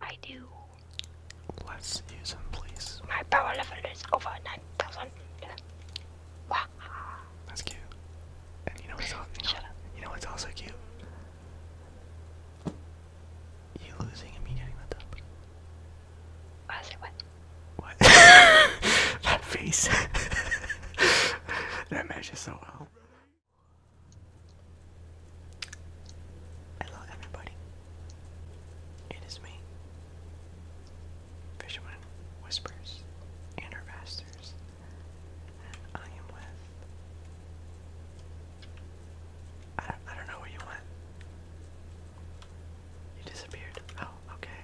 I do. Let's use him, please. My power level is over 9,000. Wow. That's cute. And you know what's, also cute? You losing and me getting the dub. I said what? What? that face. that matches so well. Hello, everybody. It is me, Fisherman Whispers and I am with. I don't, I don't know what you want. You disappeared. Oh, okay.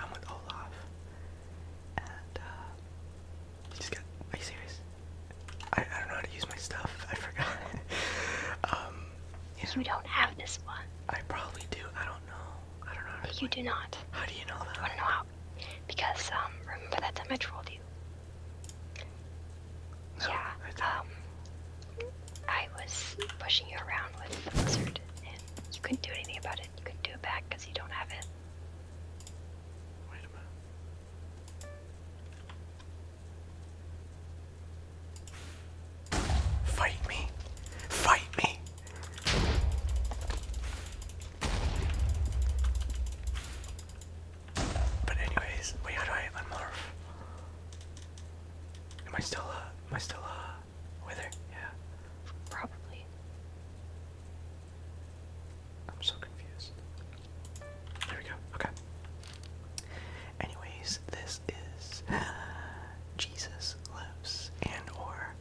I'm with Olaf. And, uh, you just got. Are you serious? I, I don't know how to use my stuff. I forgot. um, yeah. You don't have this one. I probably do. I don't know. I don't know. you do not. How do you know that? I don't know how. Because, um, remember that time I trolled you? Yeah, um, I was pushing you around with the lizard, and you couldn't do anything about it. You couldn't do it back because you don't have it. Wait a minute. Fight me! Fight me! But anyways, wait, how do I unmorph? Am I still, uh, am I still, uh, with her? Yeah. Probably. I'm so confused. There we go. Okay. Anyways, this is Jesus Lives and or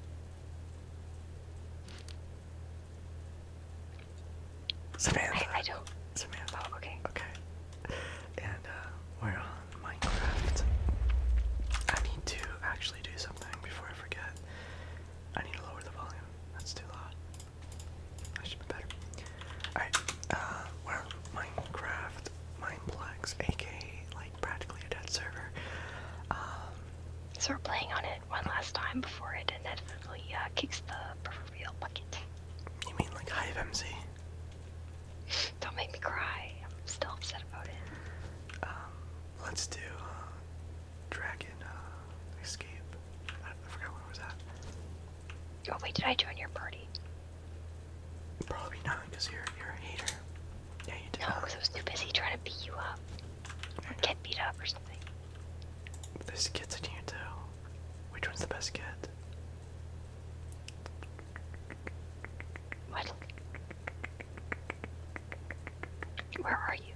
Samantha. I, do Samantha. Oh, okay. Okay. And uh, we're on Minecraft. I need to actually do something before I forget. I need to lower the volume. That's too loud. That should be better. Alright, uh, Minecraft, Mineplex, aka, like, practically a dead server. Um, so playing on it one last time before it inevitably, uh, kicks the proverbial bucket. You mean like Hive don't make me cry. I'm still upset about it. Um, let's do uh, Dragon uh, Escape. I, forgot what was that. Oh wait, did I join your party? Probably not, because you're you're a hater. No, because I was too busy trying to beat you up. Or get beat up or something. There's kids in here Which one's the best kid? What? Where are you?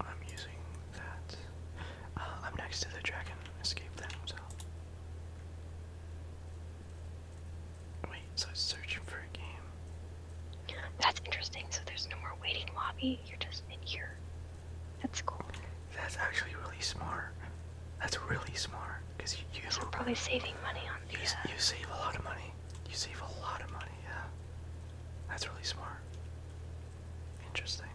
I'm using that. Uh, I'm next to the dragon. Escape that himself. Wait, so searching for a game. That's interesting. So there's no more waiting lobby. You're just in here. That's cool. That's actually really smart. That's really smart because you, you I'm probably saving money on these. Uh, you, save a lot of money. You save a lot of money. Yeah, that's really smart. Interesting.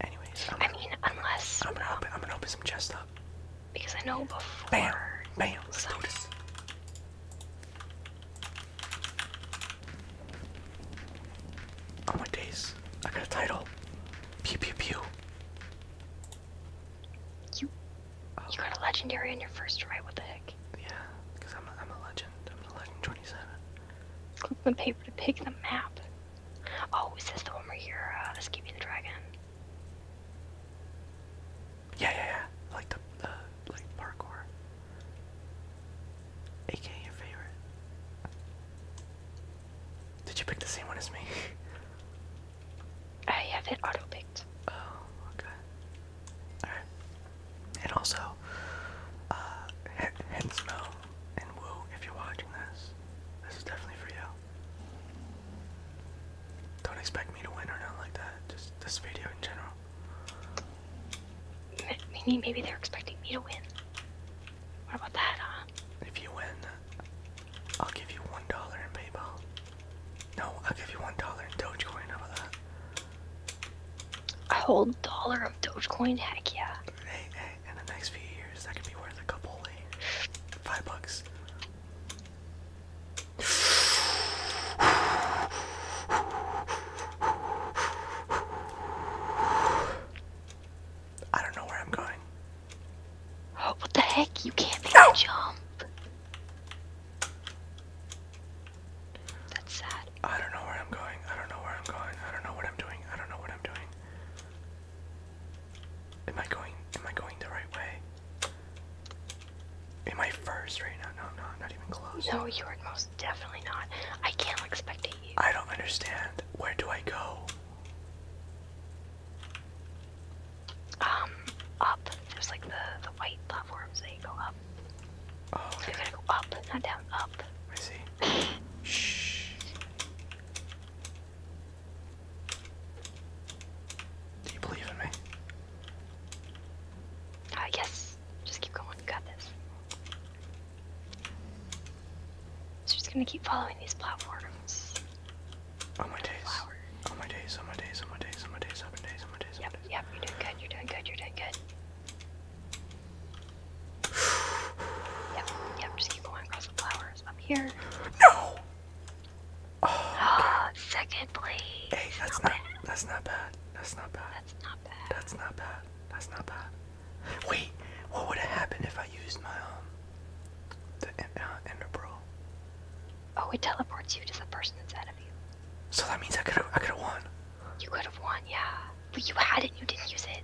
Anyways, I'm I mean, unless I'm gonna, open, I'm gonna open some chest up because I know before. Bam! Bam! let Oh my days! I got a title. Pew pew pew. You, you got a legendary on your first try. What the heck? Yeah, because I'm a, I'm a legend. I'm a legend 27. Click the paper to pick the map. Oh, is this the one where you're uh, escaping the dragon? Yeah, yeah, yeah. Like the, the like parkour. AK your favorite. Did you pick the same one as me? I have it auto picked. Oh, okay. Alright. And also, uh, Hensmo and Woo, if you're watching this, this is definitely for you. Don't expect me to win or nothing like that. Just this video in general. Maybe, maybe they're expecting me to win. What about that, huh? If you win, I'll give you one dollar in PayPal. No, I'll give you one dollar in Dogecoin. How that? A whole dollar of Dogecoin? Heck yeah. Hey, hey, in the next few years, that could be worth a couple, five bucks. I don't know where I'm going. Oh, what the heck? You can't make no. jump. That's sad. I don't know where I'm going. I don't know where I'm going. I don't know what I'm doing. I don't know what I'm doing. Am I going? Am I going the right way? Am I first right now? No, I'm not. Not even close. No, you are most definitely not. I can't expect you. I don't understand. Where do I go? Um, up. There's like the the white platforms that you go up. Oh. Okay. gotta go up, not down. Up. I see. Shh. Do you believe in me? Uh, yes. Just keep going. got this. So just gonna keep following these platforms. On my days. On my days. On my days. On my days. On my days. On my days. On my days. Yep. Yep. You're doing good. You're doing good. You're doing good. Yep. Yep. Just keep going across the flowers. Up here. No. Oh, okay. second place. Hey, that's not. not that's not bad. That's not bad. That's not bad. That's not bad. That's not bad. Wait, what would have happened if I used my um the uh, Ender Pearl. Oh, it teleports you to the person inside of you. So that means I could have I could have won. You could have won, yeah. But you had it, you didn't use it.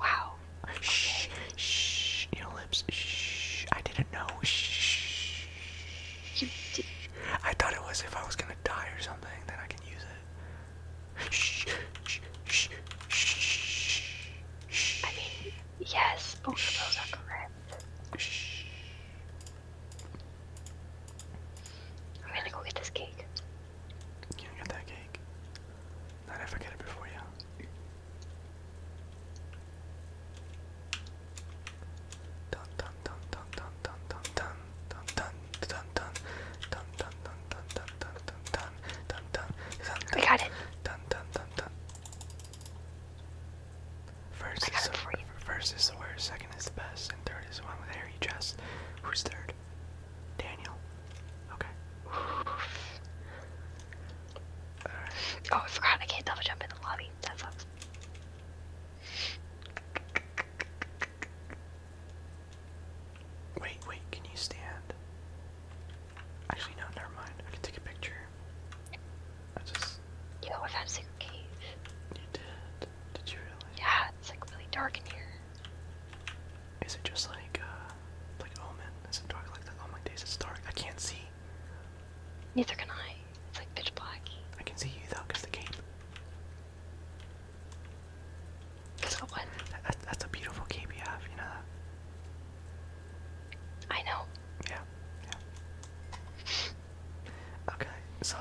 Wow. Shh, shh, you Shh, I didn't know. Shh. I thought it was if I was gonna die or something, then I can use it. I mean, yes, both of those are correct. I'm gonna go get this cake. You get that cake. Not if I get it before you. Dun dun dun dun dun dun dun dun dun dun dun dun dun dun dun dun dun dun dun dun dun I got it. Dun dun dun dun. First is the first is the worst, second is the best, and third is the one with hairy chest. Who's third? Daniel. Okay. Oh, I forgot I can't double jump in the lobby. That sucks. Wait, wait, can you stand? Actually, no, never mind. I can take a picture. I just. Yo, I found a secret You did? Did you really? Yeah, it's like really dark in here. Is it just like, uh, like Omen? Is it dark like that? Oh, my days, it's dark. I can't see. Neither can I. It's like pitch black. I can see you though, cause the cape that's a beautiful cape you have, you know that? I know. Yeah, Okay, so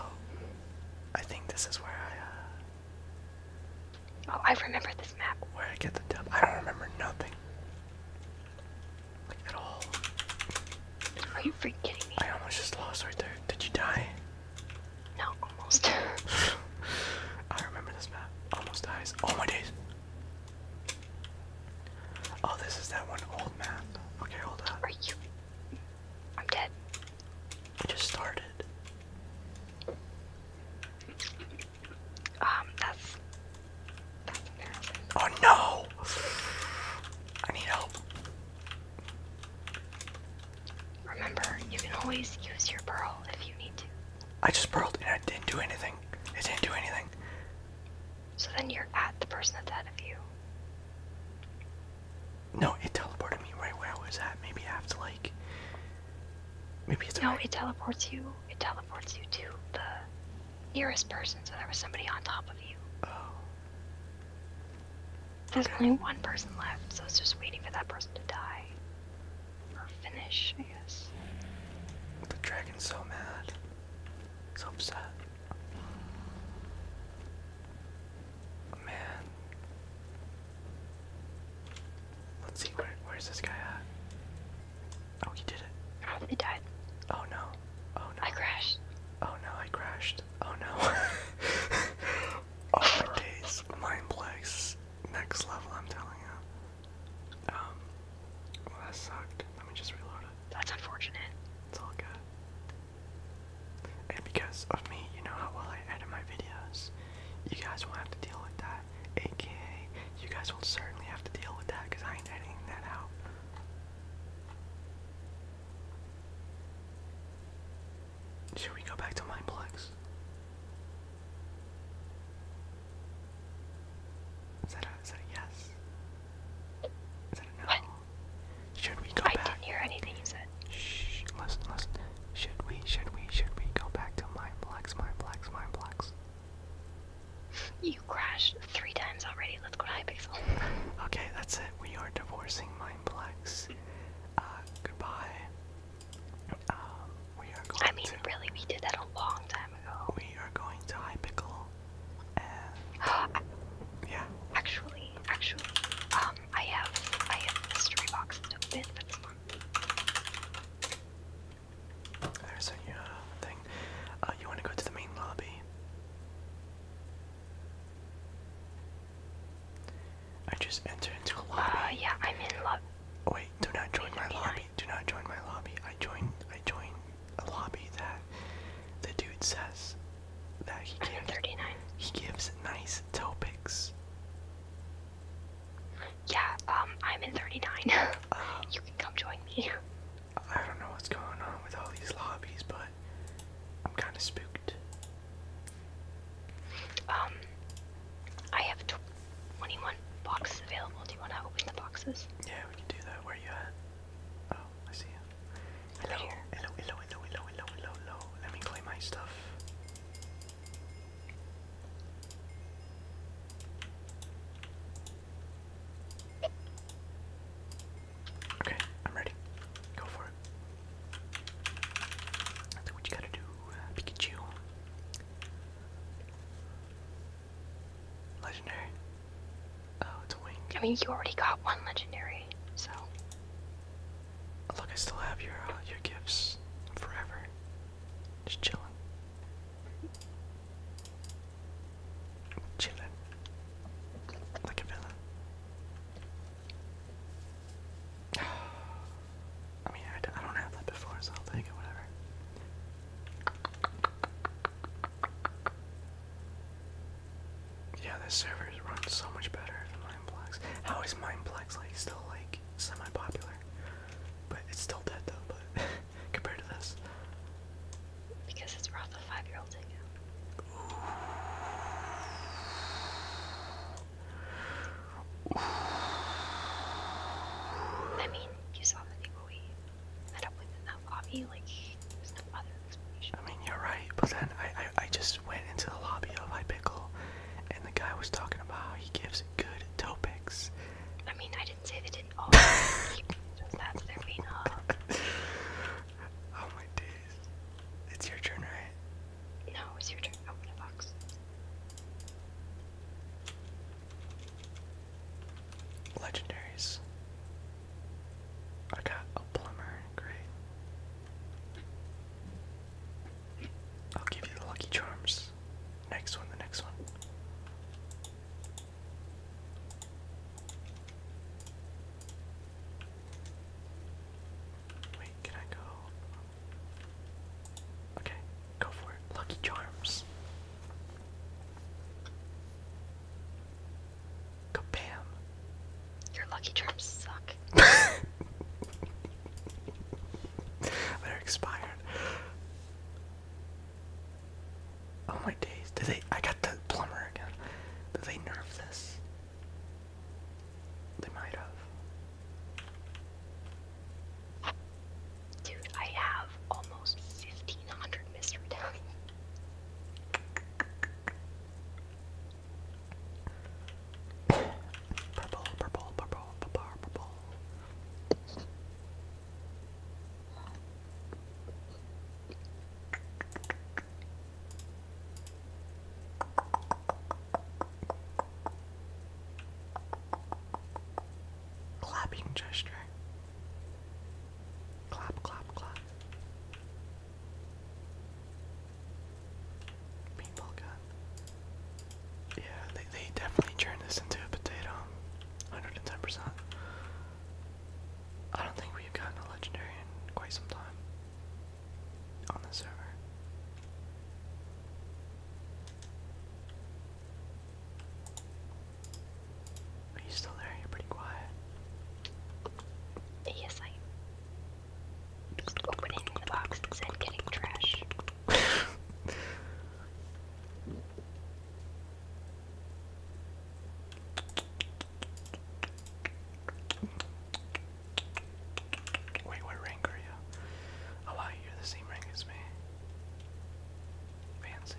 I think this is where I, uh... Oh, I remember this map. Where I get the dub. I don't remember nothing. Like, at all. Are you freaking kidding me? I almost just lost right there. Did you die? No, almost. I remember this map. Almost dies. Oh my days. Oh, this is that one old man. Okay, hold up. Are you? I'm dead. just started. Um, that's. That's embarrassing. Oh no! I need help. Remember, you can always use your pearl if you need to. I just pearled and I didn't do anything. I didn't do anything. So then you're at the person that's ahead of you. No, it teleported me right where I was at. Maybe I have to like. Maybe it's. No, it teleports you. It teleports you to the nearest person. So there was somebody on top of you. Oh. There's only one person left, so it's just waiting for that person to die. Or finish, I guess. The dragon's so mad. So upset. Man. Let's see, where, where's this guy at? Oh, he did it. Oh, he died. Oh no. Oh no. I crashed. Oh no, I crashed. Oh no. oh my days. Mind blanks. Next level, I'm telling you. Um, well, that sucked. Let me just reload it. That's unfortunate. It's all good. And because of me, you know how well I edit my videos, you guys will have to deal with that. AKA, you guys will certainly have to deal with that because I ain't editing that out. Should we go back to Mindplex? Is that a, is that a yes? Is that a no? Should we go back? I didn't hear anything you said. Shh, listen, listen. Should we, should we, should we go back to Mind Blocks, Mind Blocks, Mind Blocks? You crashed three times already. Let's go to Hypixel. okay, that's it. We are divorcing Mindplex. Uh, goodbye. Um, I mean, really, we did that a long time ago. We are going to High Pickle. yeah. Actually, actually, um, I have I have mystery boxes to open for this one. There's a uh, thing. Uh, you want to go to the main lobby? I just entered into a uh, lobby. Uh, yeah, I'm in lobby. Wait, do not join my lobby do not join my lobby. I join I join a lobby that the dude says that he gives He gives nice topics. Yeah, um, I'm in 39. Uh, you can come join me. I don't know what's going on with all these lobbies, but I'm kind of spooked. Um, I have tw 21 boxes available. Do you want to open the boxes? Yeah, we can do that. Where are you at? Oh, I see you. Hello, hello, hello, hello, hello, hello, Let me play my stuff. Okay, I'm ready. Go for it. That's what you gotta do, uh, Pikachu. Legendary. Oh, it's a wing. I mean, you already got one legendary, so. Look, I still have your uh, your gifts forever. Just chilling. Chilling. Like a villain. I mean, I don't have that before, so I'll whatever. Yeah, this server runs so much better than Mindplex. How is Mindplex like still like semi-popular? But it's still dead though, but compared to this. Because it's rough five year old I mean, you saw the I mean you're right, but then I, I I just went into the lobby of I Pickle and the guy was talking about how he gives good toe picks. I mean I didn't say they didn't all that's their main oh my days. It's your turn, right? No, it's your turn. Open a box. Legendaries. I got a plumber, great. I'll give you the lucky charms. Next one, the next one. Wait, can I go? Okay, Go for it. Lucky Charms. Kabam. Your lucky charms suck. They're expired. Oh my days. Did they I got the plumber again. Did they nerf this? They might have. Dude, I have almost 1500 mystery diamonds. purple, purple, purple, purple, purple. Clapping gesture. Clap, clap, clap. Paintball gun. Yeah, they, they definitely turned this into a potato. 110%. I don't think we've gotten a legendary in quite some time on the server. Are you still there? You're pretty quiet. Yes, I opening the boxes and getting trash. Wait, what rank are you? Oh wow, you're the same rank as me. Fancy.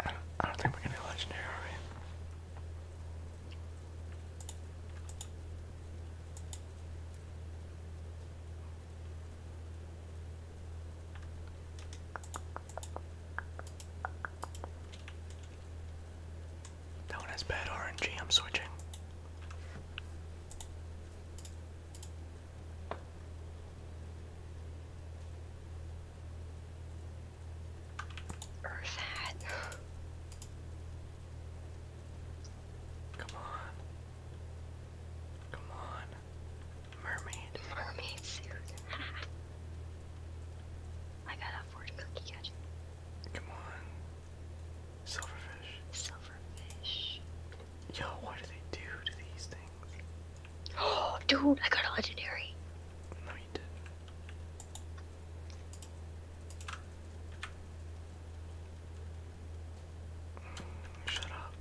Oh, I don't, think we're going legendary, are we? That one has bad RNG, I'm switching. Or that. Come on. Come on. Mermaid. Mermaid suit. I got a fortune Come on. Silverfish. Silverfish. Yo, what do they do to these things? Oh, dude, I got a legendary. No, you did Shut up.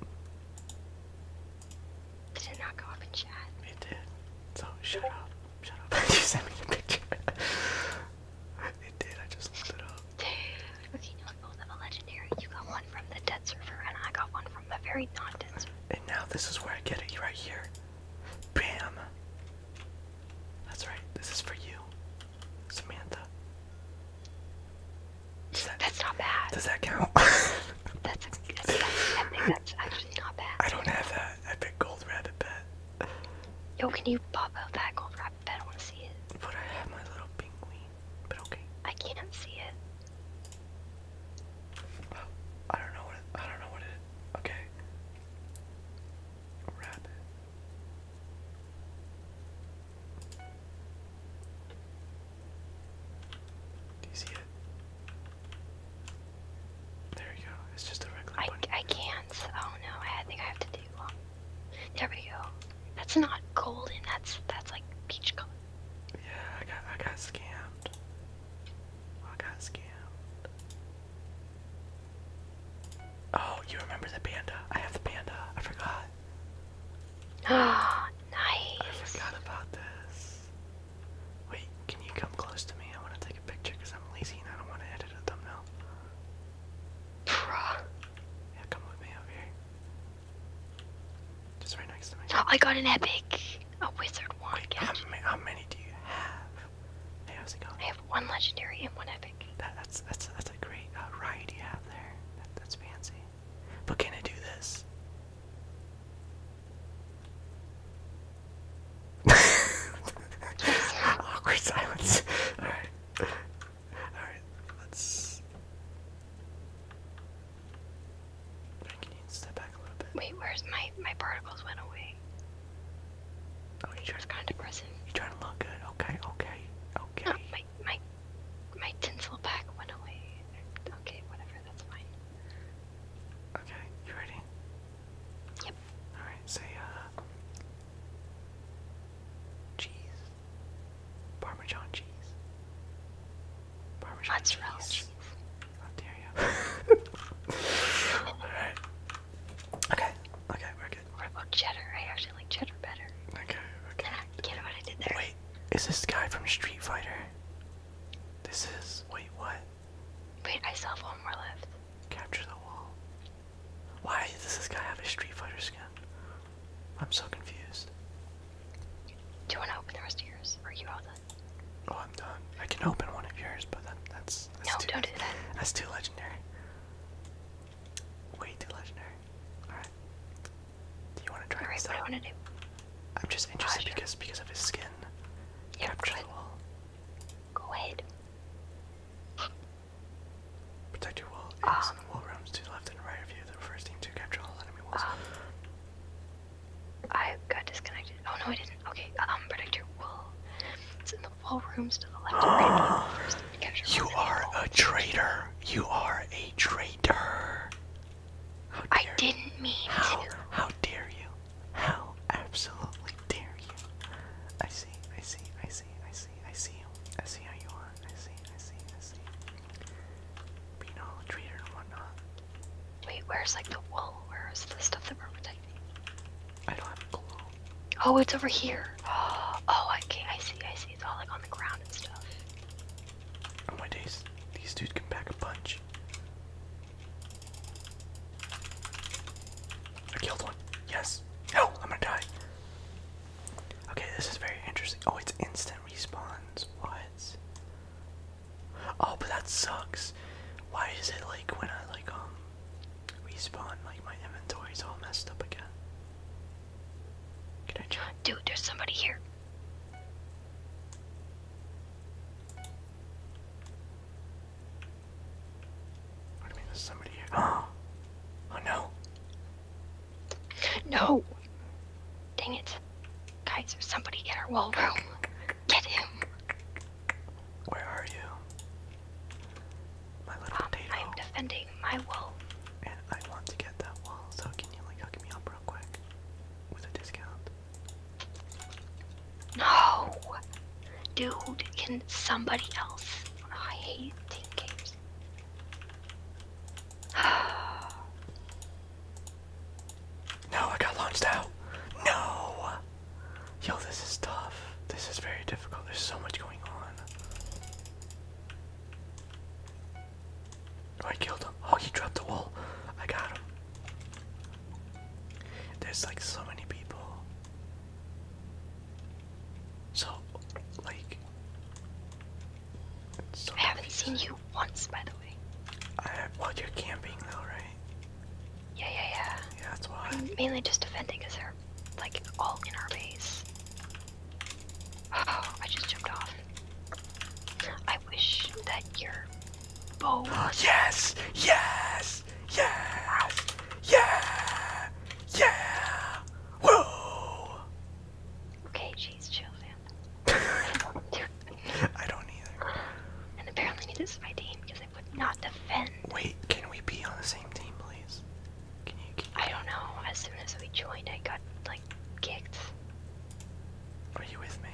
Did it not go up in chat? It did. So shut up. Shut up. you sent me the picture. it did. I just looked it up. Dude, was you both of a legendary? You got one from the dead server, and I got one from a very non-dead server. And now this is where I get it. Right here. Bam. That's right. This is for you, Samantha that's not bad. Does that count? that's, actually not bad. I don't have that epic gold rabbit pet. Yo, can you pop out that gold rabbit pet? I want to see it. But I have my little penguin. But okay. I can't see it. Well, I don't know what I don't know what it. Okay. rabbit. Do you see it? There we go. It's just a regular I, I can't. Oh no, I think I have to do um there we go. That's not golden, that's that's like peach color. Yeah, I got I got scammed. I got scammed. Oh, you remember the panda. I have the panda. I forgot. Ah, nice. I forgot about this. Wait, can you come close to me? I want to take a picture because I'm lazy and I don't want to edit a thumbnail. Bruh. Yeah, come with me over here. Just right next to me. Oh, I got an epic. A wizard wand. how, ma how many do you have? Hey, how's it going? I have one legendary and one epic. that's that's that's a great uh, ride you have there. that's fancy. But can I do this? Awkward silence. Alright. Alright, let's. Can you step back a little bit? Wait, where's my my particles went away? Oh, you trying kind of depressing. You trying to look good? Okay, okay, okay. Oh, my my my tinsel pack went away. Okay, whatever that's fine. Okay, you ready? Yep. Alright, say, uh. Cheese. Parmesan cheese. Parmesan Mozzarella cheese. cheese. How dare you? Alright. Okay, okay, we're good. What about cheddar? I actually like cheddar better. Okay, okay. Get what I did there. Wait, is this guy from Street Fighter? This is. Wait, what? Wait, I still have one more left. Capture the wall. Why does this guy have a Street Fighter skin? I'm so confused. Do you want to open the rest of yours? Or are you all done? Oh, I'm done. I can open one of yours, but that's. no, too, don't do that. That's too legendary. Way too legendary. Alright. Do you want to try All right, what out? I want to do. I'm just uh, interested because of his skin. Yeah, Capture the wall. Go ahead. Protect your wall. Um, is wall roams to the left and right of you. The first team to capture all enemy walls. Um, I got disconnected. Oh no, I didn't. Okay, um, protect your It's in the wall rooms to the left and right. Of you, first to capture you are a traitor. You are a traitor. I didn't mean how, to. How dare you? How absolutely dare you? I see, I see, I see, I see, I see you. I see how you are. I see, I see, I see. Being all a traitor and whatnot. Wait, where's like the wool? Where is the stuff that we're protecting? I don't have a clue. Oh, it's over here. Oh, okay, I see, I see. It's all like on the ground and stuff. Oh my days, these dudes can pack a punch. I killed one. Yes. No, I'm gonna die. Okay, this is very interesting. Oh, it's instant respawns. What? Oh, but that sucks. Why is it like when I like um respawn, like my inventory's all messed up again? Can I try? Dude, there's somebody here. I mean, there's somebody here. Oh, oh no. No! Dang it. Guys, there's somebody in our wall room. Get him. Where are you? My little um, I'm defending my wall. And I want to get that wall, so can you like hook me up real quick? With a discount. No! Dude, can somebody else? I hate team games. no, I got launched out. No! Yo, this is tough. This is very difficult. There's so much going on. Oh, I killed him. Oh, he dropped the wall. I got him. There's like so many people. So, like. So I haven't seen you once, by the way. I have, well, you're camping though, right? Yeah, yeah, yeah. Yeah, that's why. I'm mainly just defending because they're like all in our base. Oh, I just jumped off. I wish that your bow Yes! Yes! Yes! Yeah! Yeah! Whoa! Okay, jeez, chill, fan. I don't either. And apparently, this is my team because I would not defend. Wait, can we be on the same team, please? Can you I don't know. As soon as we joined, I got like kicked. Are you with me?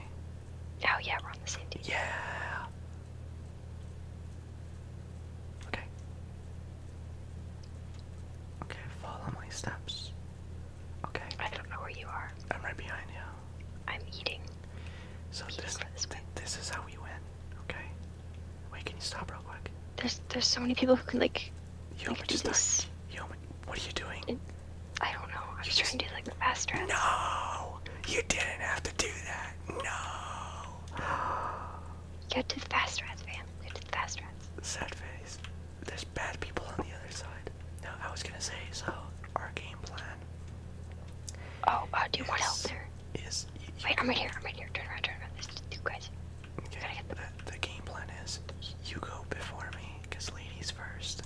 Oh yeah, we're on the same team. Yeah. Okay. Okay, follow my steps. Okay. I don't know where you are. I'm right behind you. I'm eating. So this, is how we win. Okay. Wait, can you stop real quick? There's there's so many people who can like. Yo, like, just You this. Yo, what are you doing? I don't know. I was trying to do like the fast dress. No, you didn't have to do that. No. Get to the fast dress, fam. Get to the fast dress. Sad face. There's bad people on the other side. No, I was gonna say so. Our game plan. Oh, uh, do you want help there? Is you, wait, I'm right here. I'm right here. Turn around. Turn around. This, two guys. Okay. the, game plan is you go before me, cause ladies first,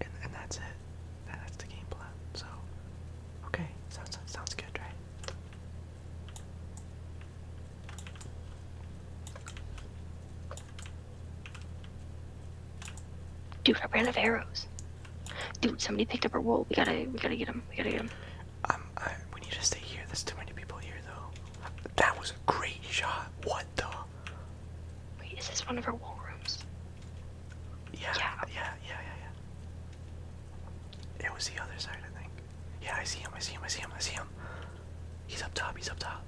and that's it that's the game plan. So, okay, sounds sounds good, right? Dude, I brand of arrows. Dude, somebody picked up our wool. We gotta, we gotta get him. We gotta get him. Um, we need to stay here. There's too many people here, though. That was a great shot. What the? Wait, is this one of our wool rooms? Yeah, yeah, yeah, yeah, yeah. It was the other side, I think. Yeah, I see him, I see him, I see him, I see him. He's up top, he's up top.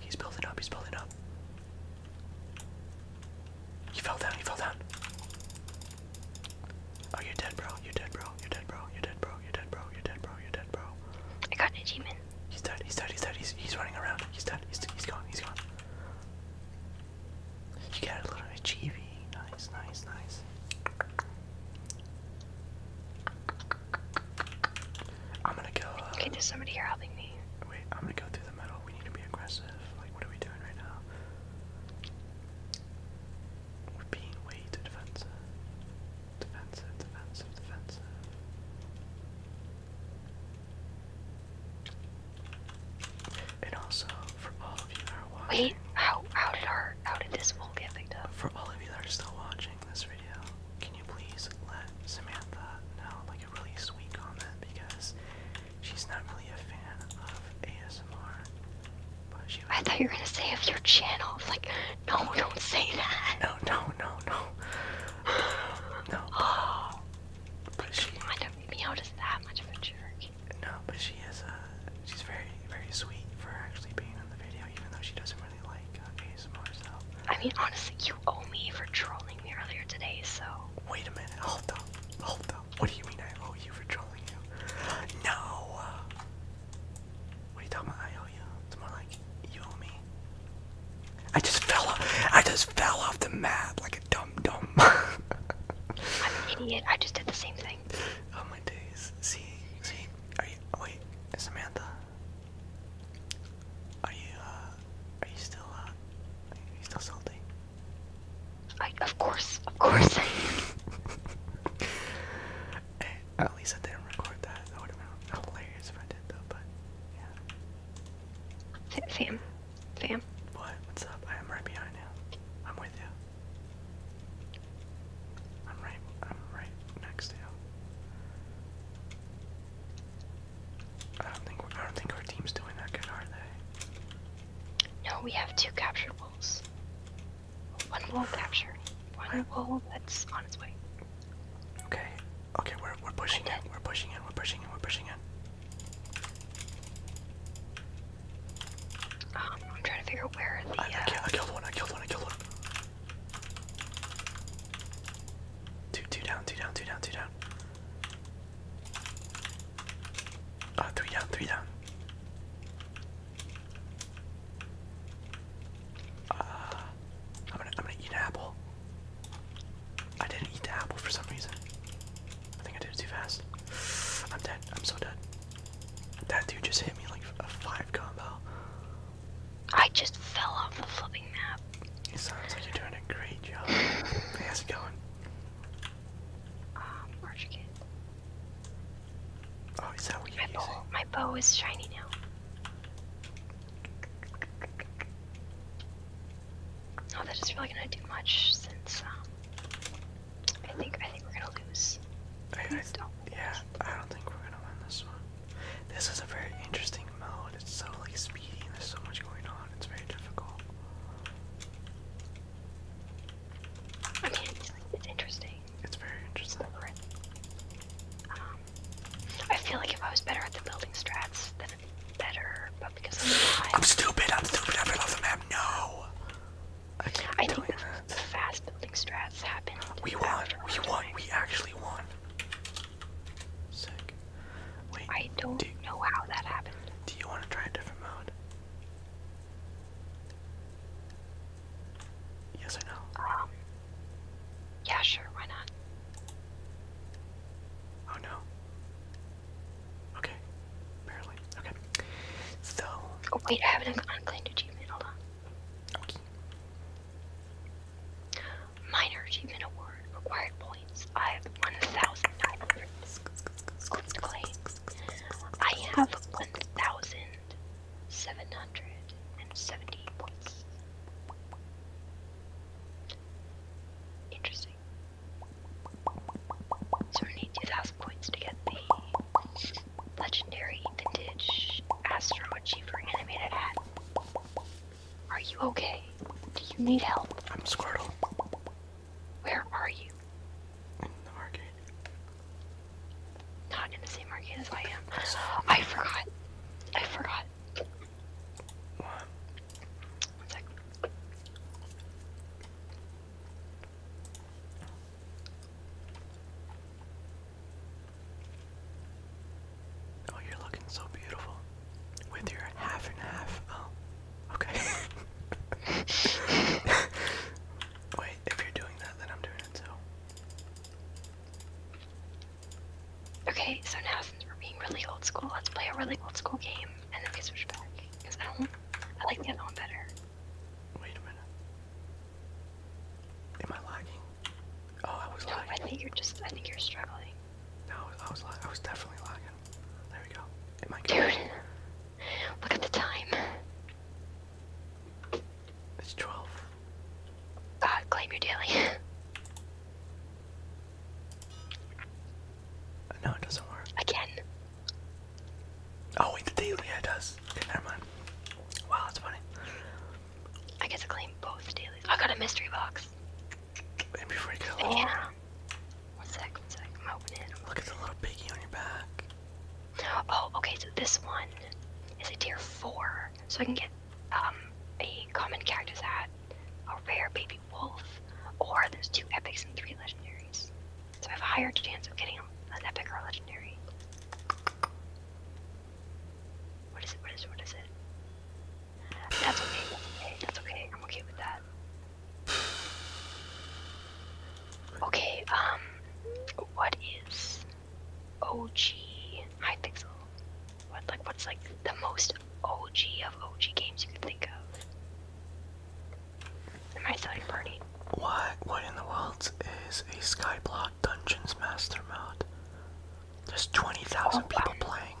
He's building up, he's building up. He fell down, he fell down. Oh, you're dead, bro. You're dead, bro. You're dead, bro. You're dead, bro. You're dead, bro. You're dead, bro. You're dead, bro. I got an achievement. He's dead. He's dead. He's dead. He's he's running around. He's dead. He's he's gone. He's gone. You got a little achieving. Nice, nice, nice. I'm gonna go. Uh, okay, there's somebody here helping me. Wait, I'm gonna go through the middle. We need to be aggressive. Like, what are we doing right now? We're being way too defensive. Defensive, defensive, defensive. Wait, how how did our how did this wool get picked up? For all of you that are still watching this video, can you please let Samantha know like a really sweet comment because she's not really a fan of ASMR. But she I thought you were gonna say of your channel. Like, no, don't say that. no, no, no. No. no. Oh. But she, Come on, not that much of a jerk. No, but she is uh she's very very sweet for actually being on the video, even though she doesn't really like uh, ASMR I mean, honestly, you owe me for trolling me earlier today, so. Wait a minute, hold up, hold up. What do you mean I owe you for trolling you? No. What are you talking about? I owe you. It's more like you owe me I just fell off. I just fell off the map like a dumb dumb. I'm an idiot. I just did the same thing. Oh my days. See, see. Are you? Oh, wait, Samantha. Are you? Uh, are you still? Uh, are you still salty? I, of course, of course. at least I didn't record that. That would have been hilarious if I did, though. But yeah. Sam, Sam? What? What's up? I am right behind you. I'm with you. I'm right I'm right next to you. I don't think I don't think our team's doing that good, are they? No, we have two captured wolves. One wolf captured. One wolf that's on its way. Okay, Okay, we're we're pushing it. We're pushing it. We're pushing it. We're pushing it. Um, I'm trying to figure out where I, uh, killed one. I killed one. I killed one. Two, two down. Two down. Two down. Two down. Uh, three down. Three down. Uh, I'm gonna I'm gonna eat an apple. I didn't eat the apple for some reason. I think I did it too fast. I'm dead. I'm so dead. That dude just hit me like a five combo. I just fell off the flipping map. It sounds like you're doing a great job. hey, going? Um, oh, is that what you're my bow is shiny now. Not oh, that's it's really gonna do much since um, I think I think we're gonna lose. I, yeah, I don't think we're gonna win this one. This is a very interesting mode. It's so like speedy. And there's so much going on. It's very difficult. I mean, it's, it's interesting. It's very interesting. Um, I feel like if I was better at the building strats, I'm alive. I'm stupid, I'm stupid, I fell off the map, no! I, I think the that. fast We won, we won, we actually won. Sick. Wait, I don't know how that happened. Do you want to try a different mode? Yes or no? Um, yeah, sure, why not? Oh no. Okay. Apparently. Okay. So. Oh, wait, I have an unclaimed achievement. Hold on. Okay. Minor achievement award. Required points. I have 1,900. Unclaimed. I have 1,770 points. Interesting. So we need 2,000 points to get the legendary vintage Astro animated hat. Are you okay? Do you need help? I'm Squirtle. Where are you? In the arcade. Not in the same arcade as I am. I forgot. I forgot. What? Oh, you're looking so beautiful with your half and half. Oh, okay. Wait, if you're doing that, then I'm doing it too. Okay, so now since we're being really old school, let's play a really old school game and then they switch back. Cause I don't, I like the other one better. Wait a minute. Am I lagging? Oh, I was no, I think you're just, I think you're struggling. No, I was, I was definitely lagging. There we go. Am I Dude, look at the time. It's 12. God, claim your daily. No, it doesn't work. Again. Oh wait, the daily, yeah it does. Okay, never mind. Wow, that's funny. I get to claim both dailies. I got a mystery box. Wait, before you Yeah. One sec, one sec. I'm opening it. Look at the little piggy on your back. Oh, okay, so this one is a tier four. So I can get um a common cactus hat, a rare baby Wolf, or there's two epics and three legendaries. So I have a higher chance of getting an epic or legendary. What is it? What is it? What is it? That's okay. That's okay. That's okay. I'm okay with that. Okay, um, what is OG High Pixel? What, like, what's like the most OG of OG games you can think of. My third party. What? What in the world is a Skyblock Dungeons Master mod? There's twenty thousand oh, people playing.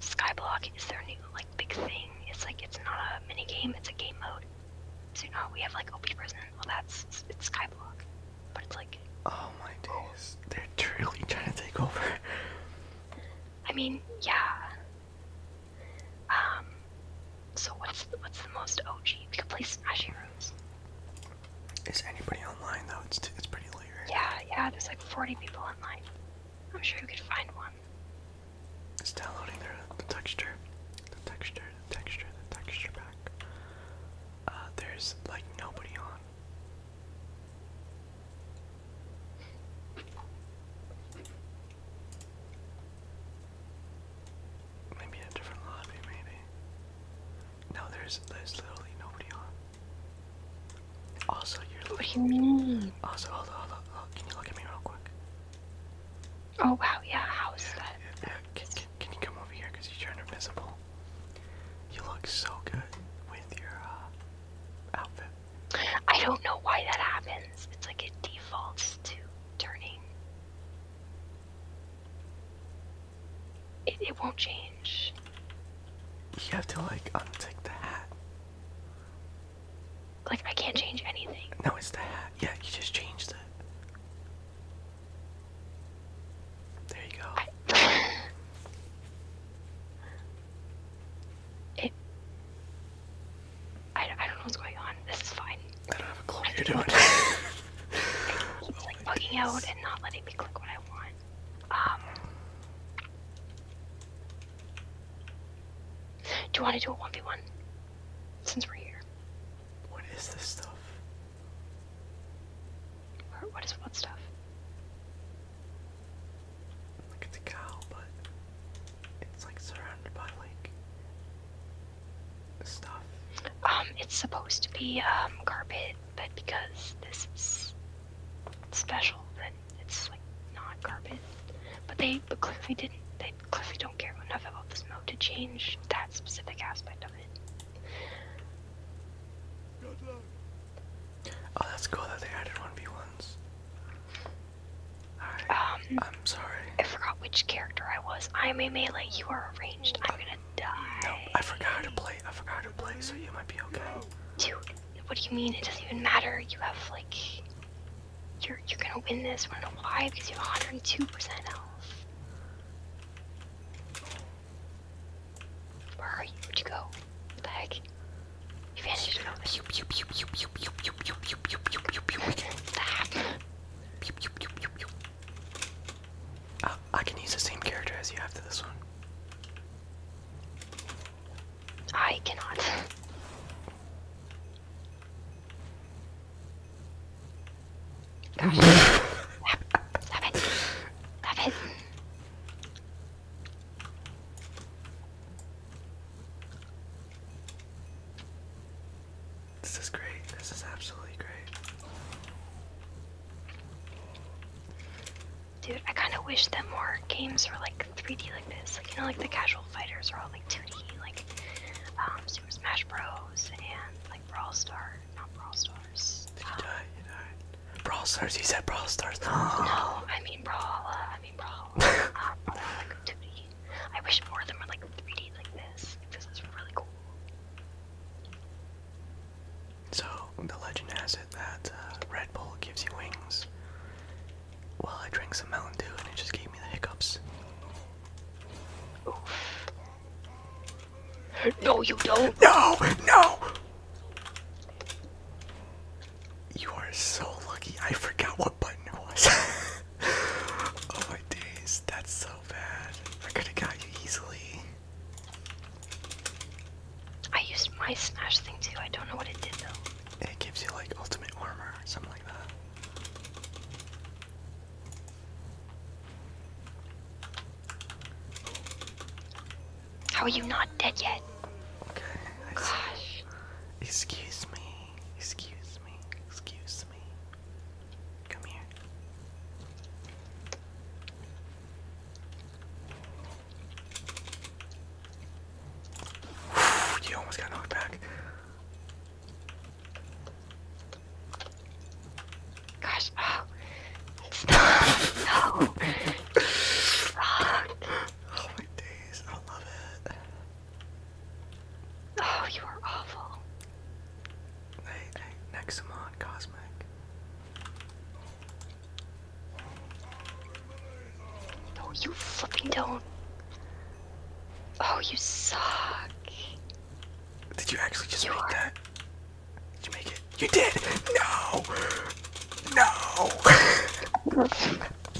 Skyblock is their new like big thing. It's like it's not a mini game; it's a game mode. So now oh, we have like OP prison. Well, that's it's Skyblock, but it's like. Oh my days! They're truly trying to take over. I mean, yeah. Um, so what's the, what's the most OG? We could play Smashy Rooms. Is anybody online though? It's it's pretty late. Yeah, yeah. There's like 40 people online. I'm sure you could find one. It's downloading uh, the texture, the texture, the texture, the texture pack. Uh, there's like nobody on. Maybe a different lobby, maybe. No, there's there's literally nobody on. Also, you're What do you mean? Also, hold hold hold Can you look at me real quick? Oh wow, yeah. How is yeah, that? Can, can, you come over here? Cause you're invisible. You look so good with your uh, outfit. I don't know why that happens. It's like it defaults to turning. It, it won't change. You have to like untick the hat. Like I can't change anything. No, it's the hat. Yeah, you just changed it. There you go. It. I, I don't know what's going on. This is fine. I don't have a clue what you're doing. it's oh like bugging oh out and not letting me click what I want. Um. Do you want to do a 1v1? Since we're here. What is this stuff? what is what stuff? Like it's a cow, but it's like surrounded by like stuff. Um, it's supposed to be um carpet, but because this is special, then it's like not carpet. But they but clearly didn't. They clearly don't care enough about this mode to change that specific aspect of it. Oh, that's cool that they added one v ones. I, am um, sorry. I forgot which character I was. I'm a melee. You are arranged. I'm gonna die. No, I forgot how to play. I forgot how to play. So you might be okay. Dude, what do you mean? It doesn't even matter. You have like, you're you're gonna win this. Wanna know why? Because you have 102 percent health. Where are you? Where'd you go? the heck? I can use the same character as you after this one. I cannot. Gosh. it. Stop it. This is great. This is absolutely great. Dude, I kind of wish that more games were like 3D like this. Like, you know, like the casual fighters are all like 2D, like um, Super Smash Bros. and like Brawl Stars. Not Brawl Stars. you Brawl Stars, you said Brawl Stars. No, I mean Brawl. I mean Brawl um, wish more of them were like 3D like this, because it's really cool. So the legend has it that uh, Red Bull gives you wings. Well, I drank some Mountain Dew and it just gave me the hiccups. No, you don't. No, no. You are so lucky. I forgot what button it was. oh my days, that's so bad. I could have got you easily. I used my smash thing too. I don't know what it did though. It gives you like ultimate armor or something like that. How are you not dead yet? Okay. Gosh. Excuse me excuse me, excuse me. Come here. you almost got knocked back. Gosh, oh. Stop. No. Oh my days. I love it. Oh, you are awful. Hey, Nexamon Cosmic. No, you fucking don't. Oh, you suck. Did you actually just you make that? Did you make it? You did! No! No!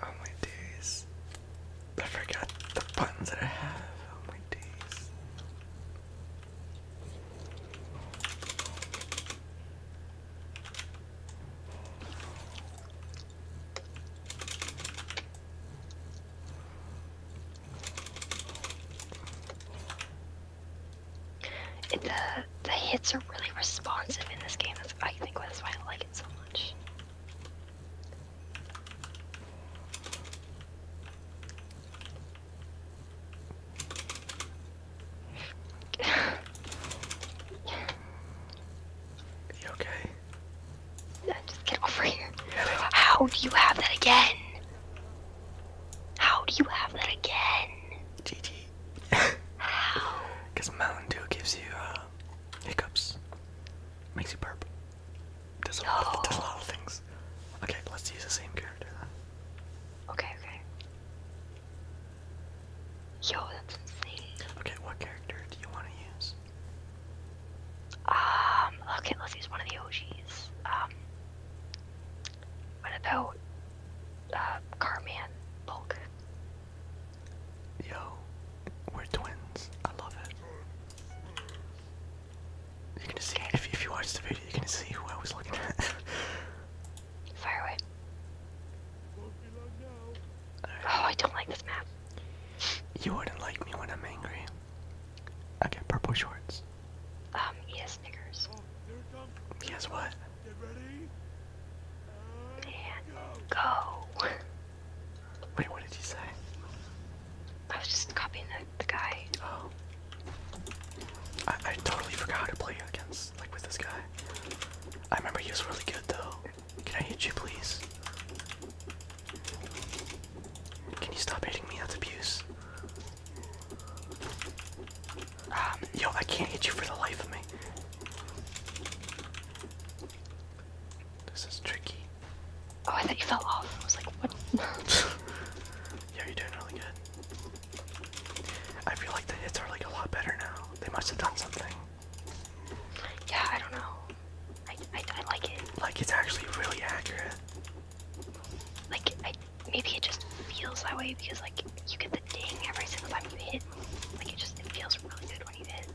Oh my days. I forgot the buttons that I have. Oh my days the uh, the hits are really responsive in this game. That's I think that's why I like it so much. You okay? Yeah, just get over here. How do you have that again? How do you have that again? GG. Because Mountain Dew gives you uh, hiccups, makes you burp. Does a, no. of, things. Okay, let's use the same character then. Okay, okay. Yo, that's insane. Okay, what character do you want to use? Um, okay, let's use one of the OGs. Um, what about, uh, Carman Bulk? Yo, we're twins. I love it. You can see if you watch the video, you can see who I was looking at. Fire away. Oh, I don't like this map. You wouldn't like me when I'm angry. Okay, purple shorts. Um, he has Snickers. He has what? And go. Wait, what did he say? I was just copying the, the guy. Oh. I, I totally forgot how to play against, like, with this guy. I remember he was really good, though. Can I hit you, please? Can you stop hitting me? That's abuse. Um, yo, I can't hit you for the life of me. This is tricky. Oh, I thought you fell off. I was like, what? yeah, you're doing really good. I feel like the hits are like a lot better now. They must have done something. Yeah, I don't know. I, I like it. Like it's actually really accurate. Like I, maybe it just feels that way because like you get the ding every single time you hit. Like it just it feels really good when you hit.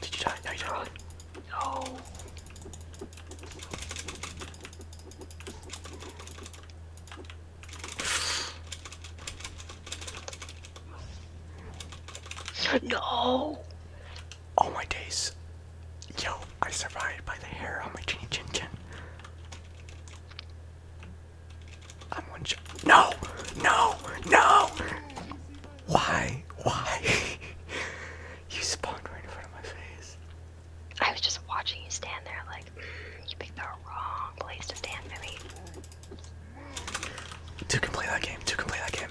Did you die? No, you died. No. No. Oh my days. Yo, I survived by the hair on my chinny chin chin. I'm one shot. No, no, no. Why? Why? you spawned right in front of my face. I was just watching you stand there like, you picked the wrong place to stand, Billy. Two can play that game. Two can play that game.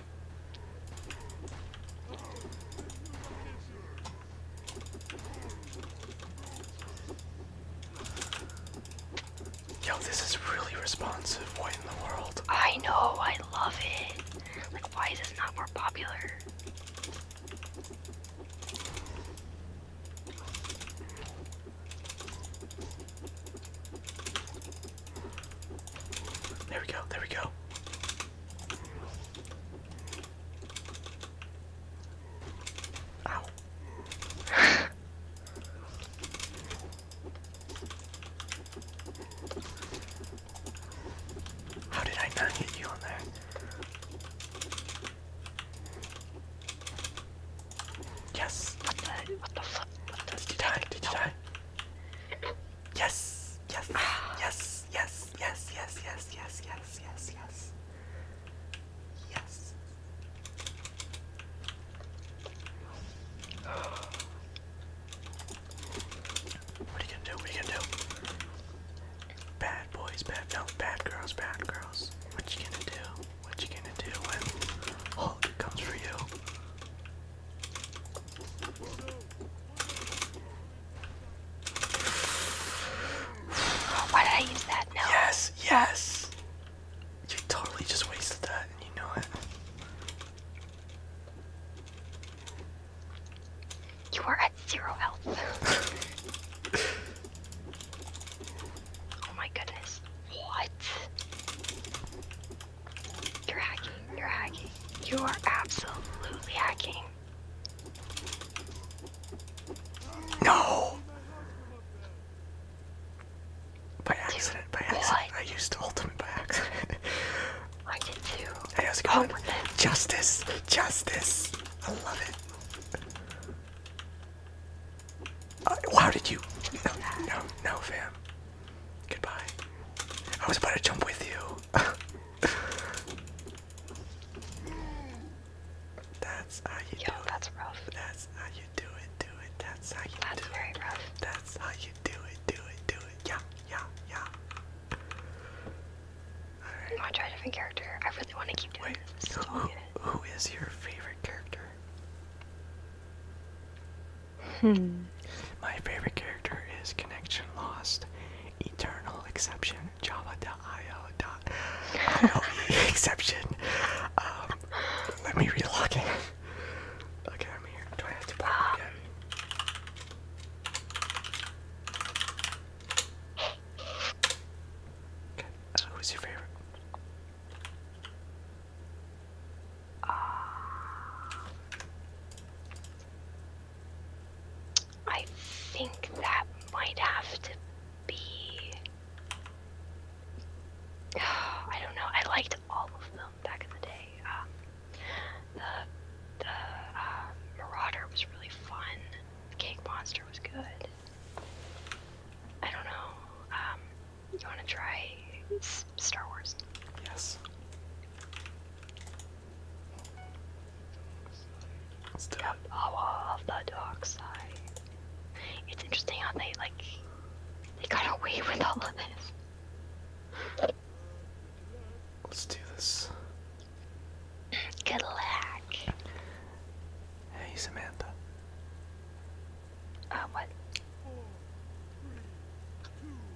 Yo, this is really responsive. What in the world? I know, I love it. Like, why is this not more popular? There we go, there we go. Ow. How did I not hit you on there? Yes. What the? What the fuck? What the, did you die? Did you die? Ah. Yes. Yes. Yes. Yes. Yes. Yes. Yes. Yes. Yes. Yes. Yes. What are you gonna do? What gonna do? Bad boys, bad girls, bad girls. What you gonna do? What you gonna do when Hulk comes for you? Why did I use that? No. Yes, yes. You totally just wasted that and you know it. You are at zero health. oh my goodness. What? You're hacking. You're hacking. You are absolutely hacking. No! By accident, by accident. I used ultimate by accident. I did too. Hey, how's it Oh, justice! Justice! I love it. Uh, how did you? No, no, no, fam. Goodbye. I was about to jump with you. That's how you do it. That's how you do it, do it. That's how you that's do very it. rough. That's how you do it, do it, do it. Yeah, yeah, yeah. Alright. I'll try a different character. I really want to keep doing Wait, So who is your favorite character? Hmm. My favorite character is Connection Lost, Eternal Exception, Java.io. Exception. Um, let me relock it. Okay, I'm here. Do I have to pop Okay, uh, who's your favorite? Ah. I think that might have to be. I don't know. I liked all of them back in the day. Um, the the um, Marauder was really fun. The Cake Monster was good. I don't know. Um, you want to try Star Wars? Yes. Let's the dark side. It's interesting how they like they got away with all of this. Let's do this. Good luck. Hey Samantha. Uh, what?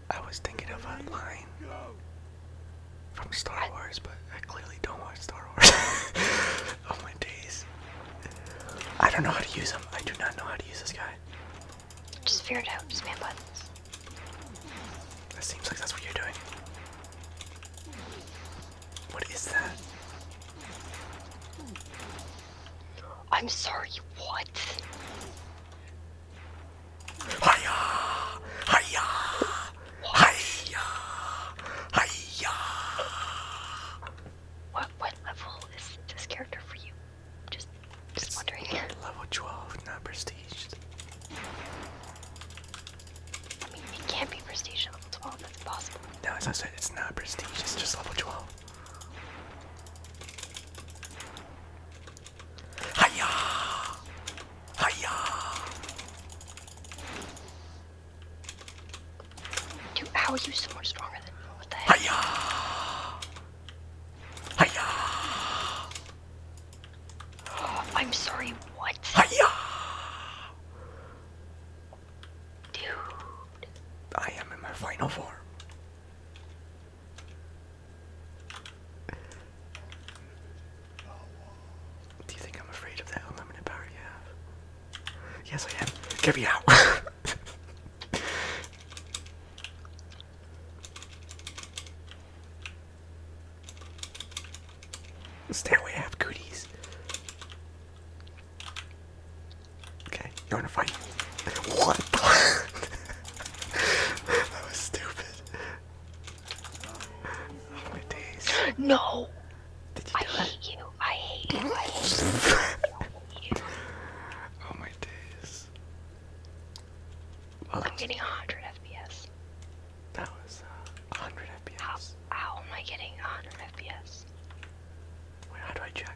I was thinking of a line from Star Wars, but I clearly don't watch Star Wars. oh my days. I don't know how to use them. I do not know how to use this guy. Just figure it out. Spam buttons. That seems like that's what you're doing. What is that? I'm sorry, what? Hiya! Hiya! Hiya! Hiya! What what level is this character for you? Just just it's wondering. Level 12, not prestige. I mean, it can't be prestige level 12. That's impossible. No, it's not. It's not prestige. It's just level 12. Hiya! Hiya! Dude, how are you so much stronger than me? What the heck? Hiya! Hiya! Oh, I'm sorry, what? Hiya! Dude. I am in my final form. Do you think I'm afraid of that unlimited power you have? Yes, I am. Get me out. Stay away, I have goodies. Okay, you wanna fight? What the That was stupid. Oh, no! I hate you. I hate you. I hate you. I hate Oh my days. I'm getting 100 FPS. That was 100 uh, FPS. How, am I getting 100 FPS? Wait, how I check?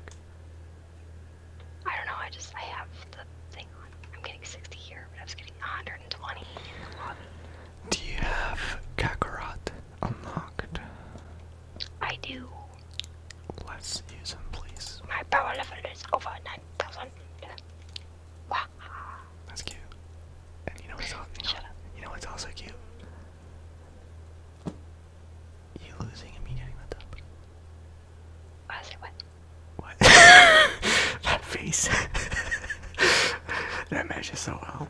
I don't know. I just I have the thing on. I'm getting 60 here, but I was getting 120. Do you have Kakarot unlocked? I do. Let's use him, please. My power level is over 9,000. That's cute. And you know what's also, you, you know cute? You losing and me getting the I said what? What? that face. that matches so well.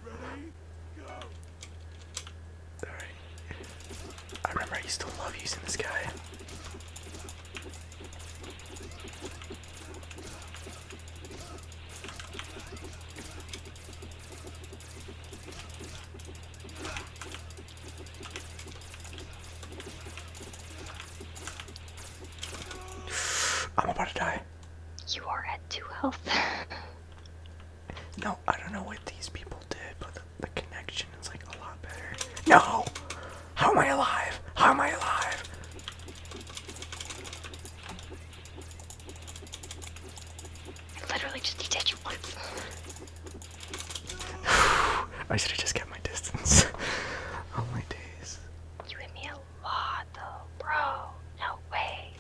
Alright. I remember I used to love using this guy. I'm about to die. You are at two health. No, I don't know what these people did, but the, connection is like a lot better. No! How am I alive? How am I alive? I literally just need you once. I should have just kept my distance. oh my days. You hit me a lot though, bro. No way.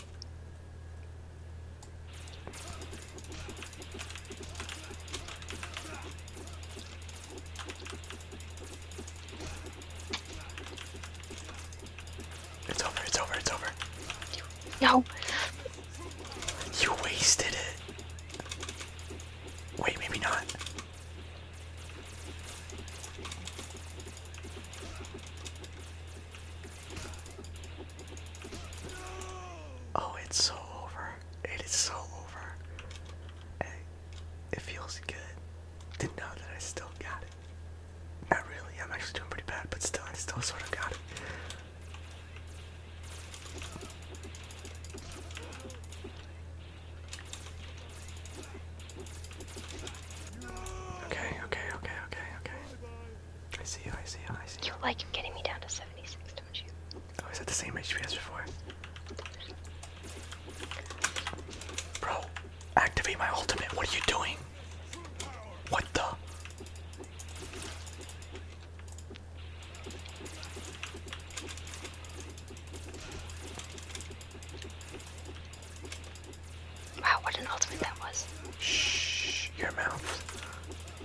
It's over, it's over, it's over. No! You wasted it. Wait, maybe not. Oh, it's so over. It is so over. it feels good to know that I still got it. Not really, I'm actually doing pretty bad, but still, I still sort of got it. Okay, okay, okay, okay, okay. I see you, I see you, I see you. like getting me down to 76, don't you? Oh, is it the same HP as before? Bro, activate my ultimate. What are you doing? What the? Wow, what an ultimate that was. Shh, your mouth.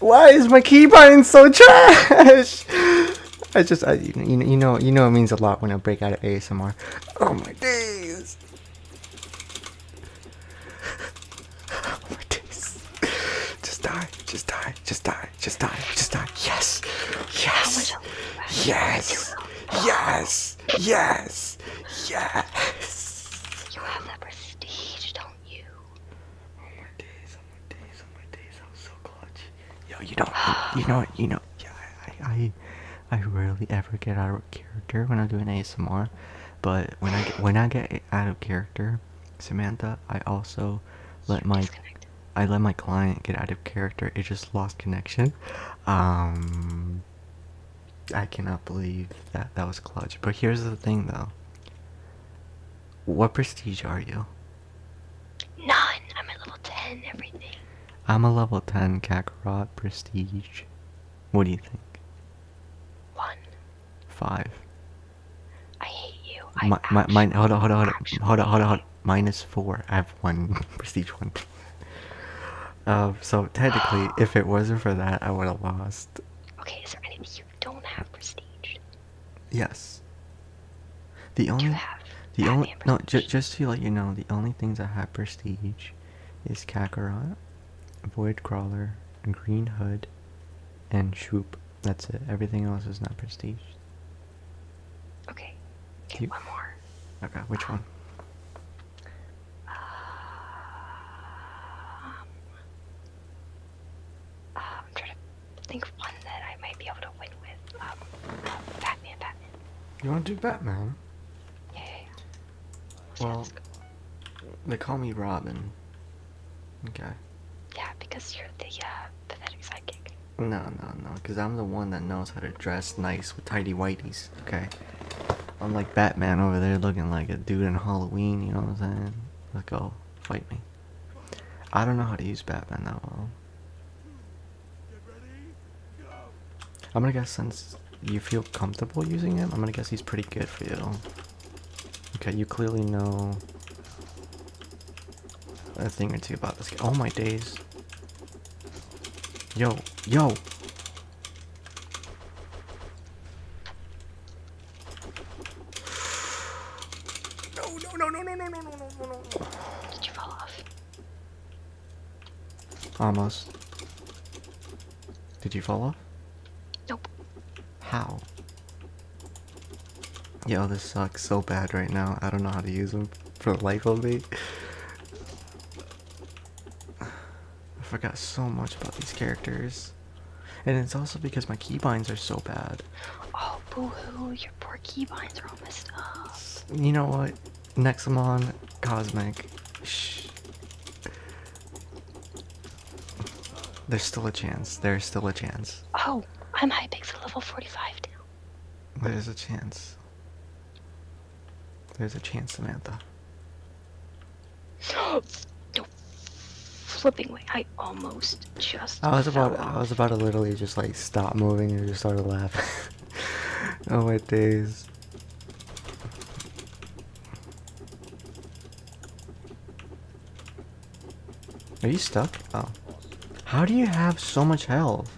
Why is my keybind so trash? I just, you know, you know, you know, it means a lot when I break out of ASMR. Oh my days! Oh my days! Just die! Just die! Just die! Just die! Just die! Yes! Yes! Yes! Yes! Yes! Yes! You have that prestige, don't you? Oh my days! I was oh, so clutch. Yo, you don't, you know what, you know, Yeah, I, I, I rarely ever get out of character when I'm doing ASMR, but when I get, when I get out of character, Samantha, I also let my, I let my client get out of character. It just lost connection. Um, I cannot believe that that was clutch. But here's the thing, though. What prestige are you? None. I'm at level 10, everything. I'm a level 10 Kakarot prestige. What do you think? One. Five. I hate you. I my, my, mine, hold on, hold on, hold on, hold on, hold on, hold on. Minus four. I have one prestige one. um, so technically, if it wasn't for that, I would have lost. Okay, is there anything you don't have prestige? Yes. The only, the only, no, ju just to let you know, the only things I have prestige is Kakarot, Void Crawler, Green Hood, and Shoop. That's it. Everything else is not prestige. Okay. You... One more. Okay, which one? Um, um, I'm trying I think one that I might be able to win with. Um, uh, Batman, Batman. You want to do Batman? Yeah. Well, they call me Robin. Okay. Yeah, because you're the uh, pathetic sidekick. No, no, no, because I'm the one that knows how to dress nice with tidy whities. Okay. I'm like Batman over there looking like a dude in Halloween, you know what I'm saying? let go. Fight me. I don't know how to use Batman that well. I'm gonna guess since you feel comfortable using him, I'm gonna guess he's pretty good for you. Okay, you clearly know a thing or two about this guy. Oh my days. Yo, yo! No, no, no, no, no, no, no, no, no, no. Did you fall off? Almost. Did you fall off? Nope. How? Yo, this sucks so bad right now. I don't know how to use them for the life of me. I forgot so much about these characters. And it's also because my keybinds are so bad. Oh, boo-hoo, your poor keybinds are all messed up. You know what? Nexamon, Cosmic, shh. There's still a chance. There's still a chance. Oh, I'm Hypixel level 45 now. There's a chance. There's a chance, Samantha. flipping way. I almost just. I was about. I was about to literally just like stop moving and just started laughing. oh my days. Are you stuck? Oh. How do you have so much health?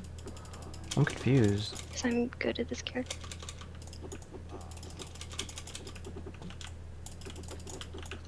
I'm confused. Because I'm good at this character.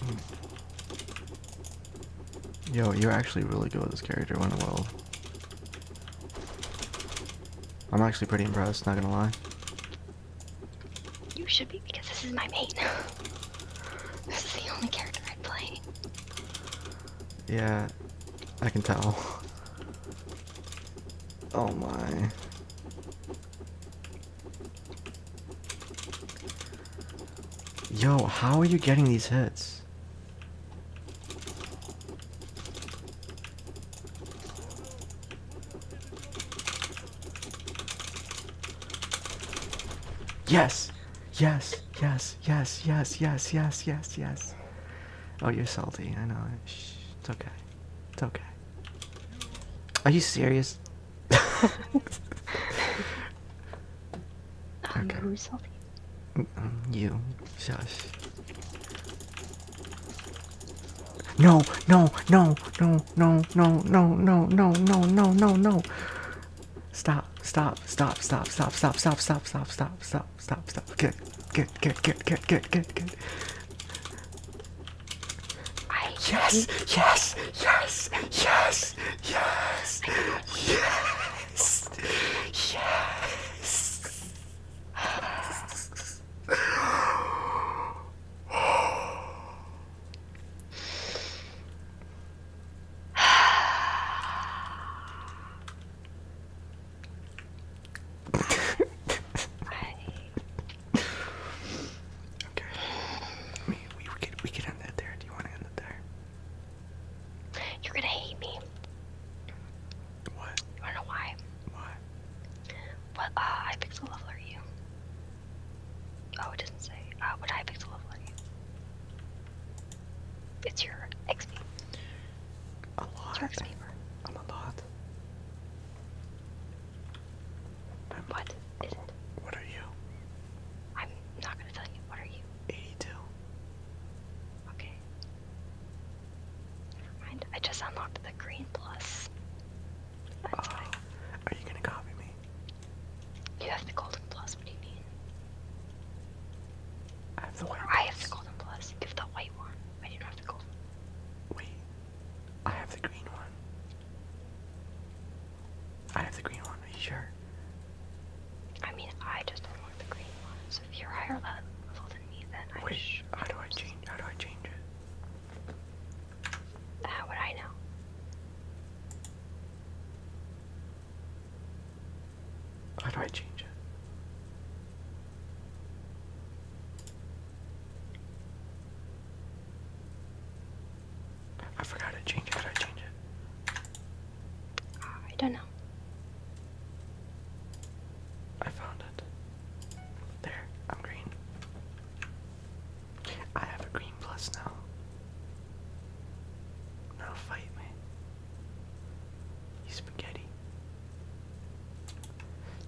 Hmm. Yo, you're actually really good with this character, one world. I'm actually pretty impressed, not gonna lie. You should be, because this is my main. this is the only character I play. Yeah, I can tell. Oh my. Yo, how are you getting these hits? Yes! Yes, yes, yes, yes, yes, yes, yes, yes. Oh, you're salty. I know. Shh, it's okay. It's okay. Are you serious? um, okay. Who's salty? You. Shush. No, no, no, no, no, no, no, no, no, no, no, no, no. Stop, stop, stop, stop, stop, stop, stop, stop, stop, stop, stop, stop, stop. Good, good, good, good, good, good, good, good. I yes, yes, yes, yes, yes, yes, yes. I Okay. we, we could we could end it there. Do you want to end it there? You're gonna hate me. What? I don't know why. Why? What uh, I pixel level you? Oh, it doesn't say. Uh, what high pixel level you? It's your XP. A lot. XP. I'm a lot. Or what is What are you? I'm not gonna tell you. What are you? 82. Okay. Never mind. I just unlocked the green plus. That's oh. Are you gonna copy me? You have the golden plus. What do you mean? I have the white. I have the golden plus. Give the white one. I do not have the golden. Wait. I have the green one. I have the green one, are you sure? I mean, I just don't want the green one, so if you're higher level than me, then I Wait, how do I change, how do I change it? How would I know? How do I change it? I forgot to change it. I change it? I don't know. I found it. There, I'm green. I have a green plus now. Now fight me. You spaghetti.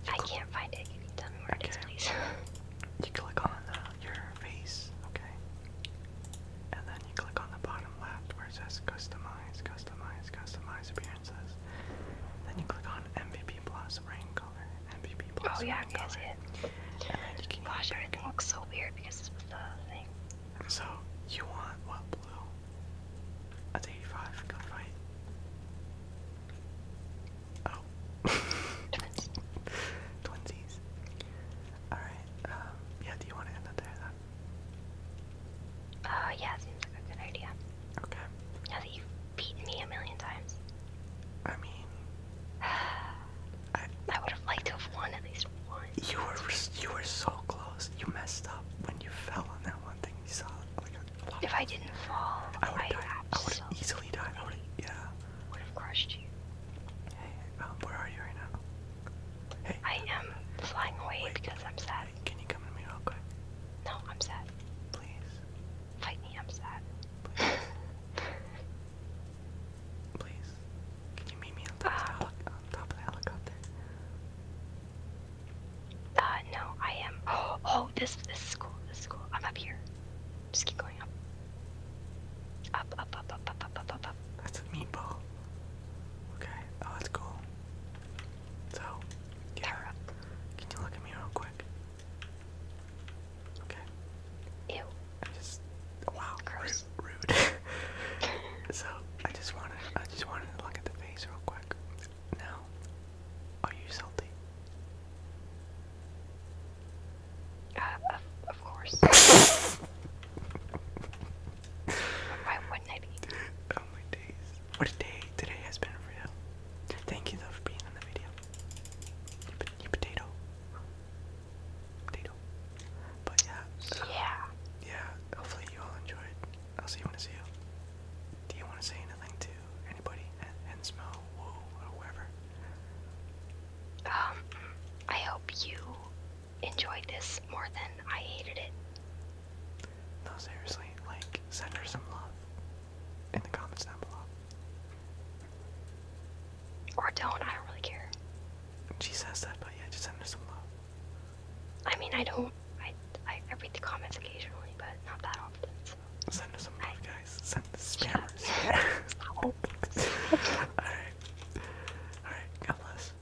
You I can't find it. Can you tell me you click on the, your face, okay? And then you click on the bottom left where it says customize, customize, customize appearances. Then you click on MVP Plus rain color, MVP oh, Plus. Oh yeah, rain that's color. it. And then you can Gosh, everything looks so weird because it's with the thing. So you want what blue? That's 85. Good Oh. Twinsies. Twinsies. Alright, um, yeah, do you want to end it there then? Oh, uh, yeah, seems like a good idea. Okay. Now that you've beaten me a million times. I mean, I, would have liked to have won at least once. You were you were so close. You messed up when you fell on that one thing. You saw If I didn't fall, I would have I would have easily died. yeah. Hey, um, where are you right now? Hey. I am flying away because I'm sad. can you come to me real quick? No, I'm sad. Please. Fight me, I'm sad. Please. Can you meet me on the uh, top of the helicopter? Uh, no, I am. oh, oh this, this is cool. This is cool. I'm up here. Just keep going up. Up, up, up, up, up, up, up, up, up. That's a meatball. Okay. Oh, that's cool. So, yeah. Power up. Can you look at me real quick? Okay. Ew. I just oh, wow. Gross. Rude. so I just wanted I just wanted to look at the face real quick. Now, are you salty? Uh, of, course. Why wouldn't I be? Oh my days. What a day today has been for you. Thank you though for being on the video. You, potato. Potato. But yeah. Yeah. Yeah, hopefully you all enjoyed. I'll see you when I see you. Do you want to say anything to anybody? And, Woo, or whoever? um, I hope you enjoyed this more than I hated it. No, seriously, like, send her some love in the comments down below. Or don't, I don't really care. She says that, but yeah, just send her some love. I mean, I don't, I, I, read the comments occasionally, but not that often, Send her some love, guys. Send the spammers. Alright. Alright, God bless.